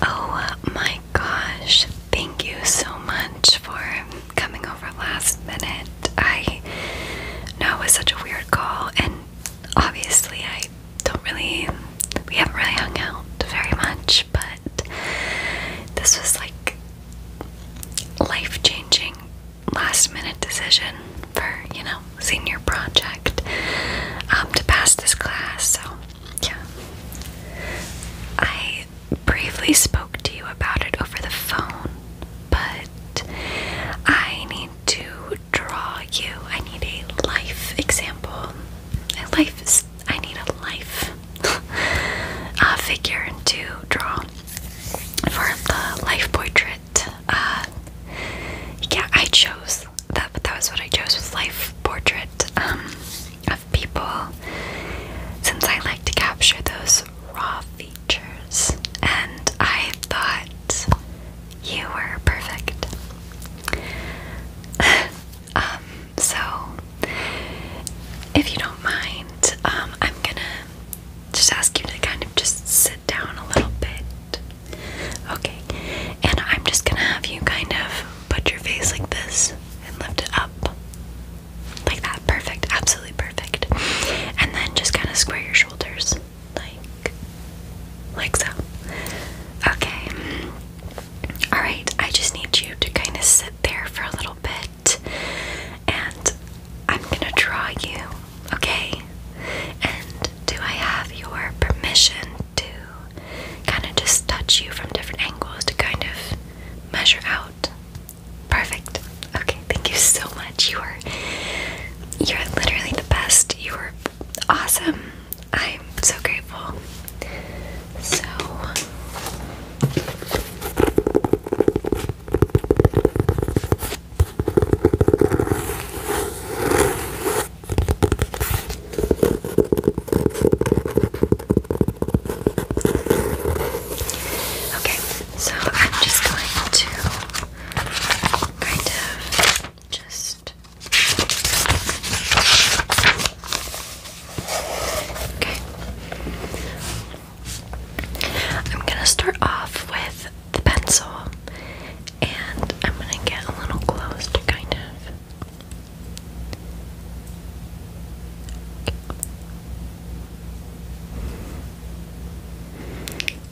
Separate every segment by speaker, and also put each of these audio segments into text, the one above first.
Speaker 1: Oh uh, my gosh, thank you so much for coming over last minute. I know it was such a weird call, and obviously, I don't really, we haven't really hung out very much, but this was like life changing last minute decision for, you know, senior project um, to pass this class. So, yeah. I briefly spoke to you about it over the phone, but I need to draw you. I need a life example. A life, I need a life A uh, figure to draw for the life portrait. Uh, yeah, I chose that, but that was what I chose was life portrait um, of people, since I like to capture those raw features, and I thought you were perfect. Um, so, if you don't mind, um, I'm gonna just ask you to kind of just sit down a little bit. Okay, and I'm just gonna have you kind of put your face like this and lift it up. Like that. Perfect. Absolutely perfect. And then just kind of square your shoulders. Like, like so. Okay. Alright, I just need you to kind of sit there for a little bit. And I'm gonna draw you, okay? And do I have your permission to kind of just touch you from different angles to kind of measure out? Perfect. Okay, thank you so much. You are you're literally the best. You are awesome. I'm so grateful. So Okay, so I'm just going to kind of just okay. I'm gonna start off with the pencil and I'm gonna get a little close to kind of.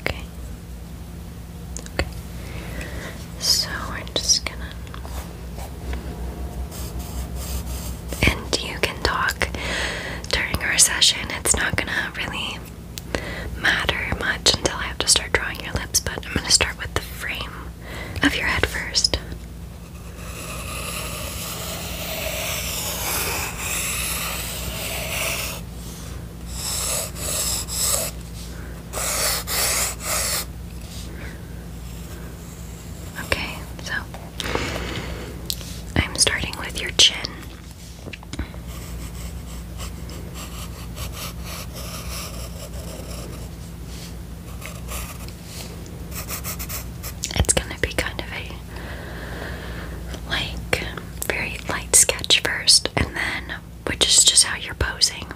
Speaker 1: Okay. Okay. So we're just gonna and you can talk during our session. It's not gonna really matter much until I have to start drawing your lips, but I'm gonna start with the frame of your head first. Okay, so I'm starting with your chin. It's going to be kind of a like very light sketch first, and then which is just how you're posing.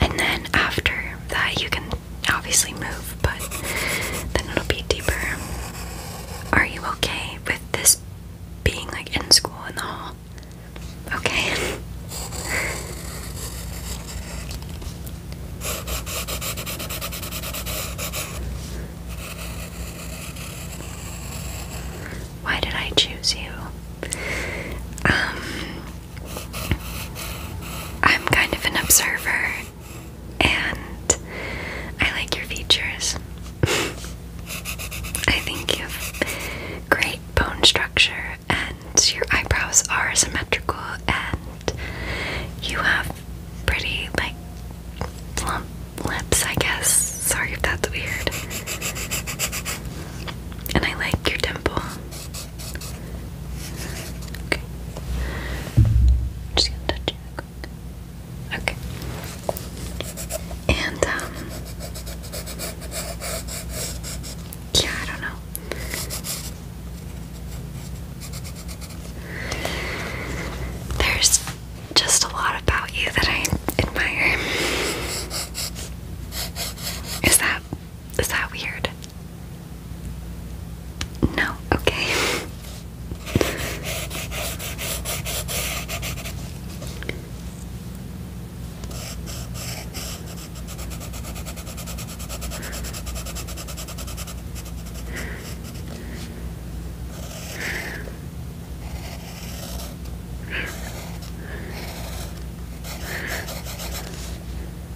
Speaker 1: And then after that, you can obviously move, but then it'll be deeper. Are you okay with this being like in school in the hall? Okay. Why did I choose you? Um I'm kind of an observer and I like your features. I think you have great bone structure and your eyebrows are symmetrical and you have pretty like plump lips, I guess. Sorry if that's weird. And I like your dimple. Okay. Just gonna touch you quick. Okay. And um Yeah, I don't know. There's just a lot about you that I admire. Is that is that weird? No, okay.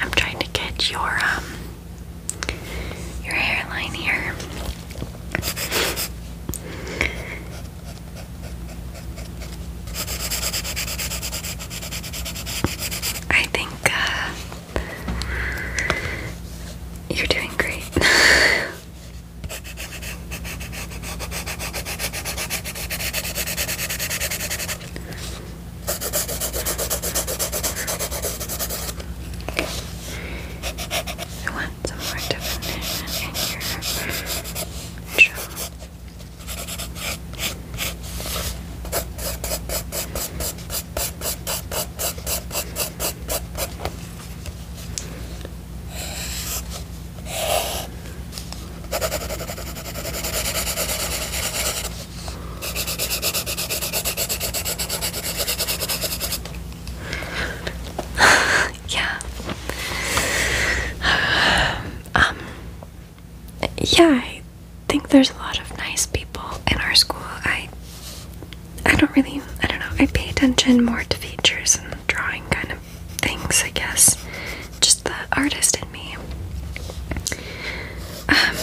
Speaker 1: I'm trying to catch your um your hairline here. I think uh, you're doing great. I want some more definition in your jaw. Okay. yeah. Um yeah, I think there's a lot of nice people in our school. I I don't really I don't know. I pay attention more to features and drawing kind of things, I guess. Just the artist in me. Um,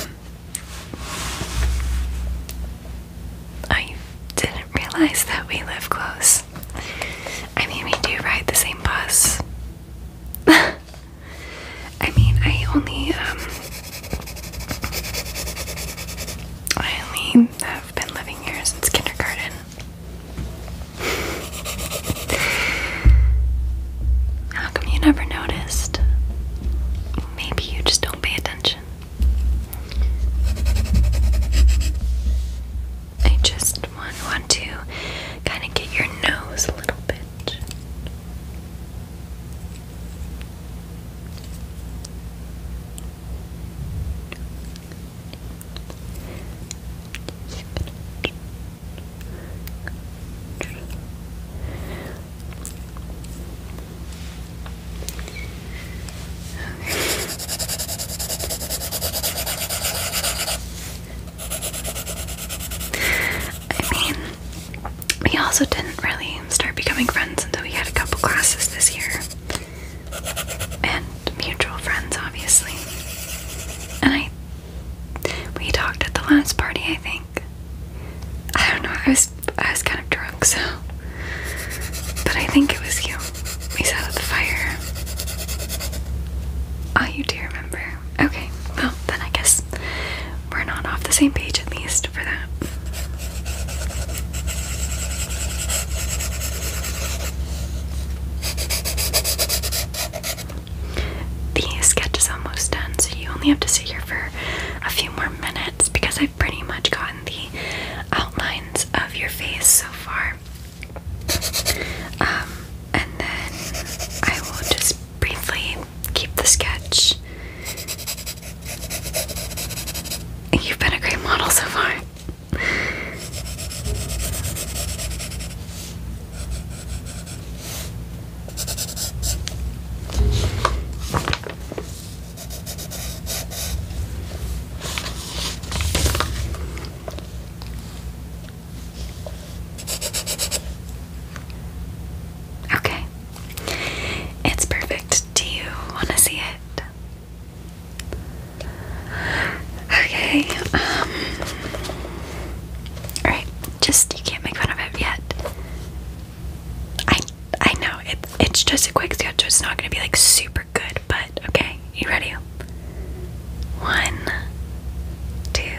Speaker 1: I didn't realize that we live close. I mean, we do ride the same bus. I mean, I only, um, I only have been living here since kindergarten. How come you never noticed? Maybe you just don't pay attention. I just want, want to kind of get your nose a little bit. I mean, we also didn't really start becoming friends until we had a couple classes this year and mutual friends, obviously. And I, we talked at the last party, I think. I don't know. I was I was kind of drunk, so. But I think it was you. We sat at the fire. Oh, you do remember. Okay. Well, then I guess we're not off the same page at least for that. The sketch is almost done, so you only have to sit here for a few more minutes because I've pretty much gotten the outlines of your face so far. Um, and then I will just briefly keep the sketch. You've been a great model so far. Okay. It's perfect. Do you want to see it? Okay, um. Alright, just you can't make fun of it yet. I I know, it, it's just a quick sketch, it's not gonna be like super good, but okay, you ready? One, two.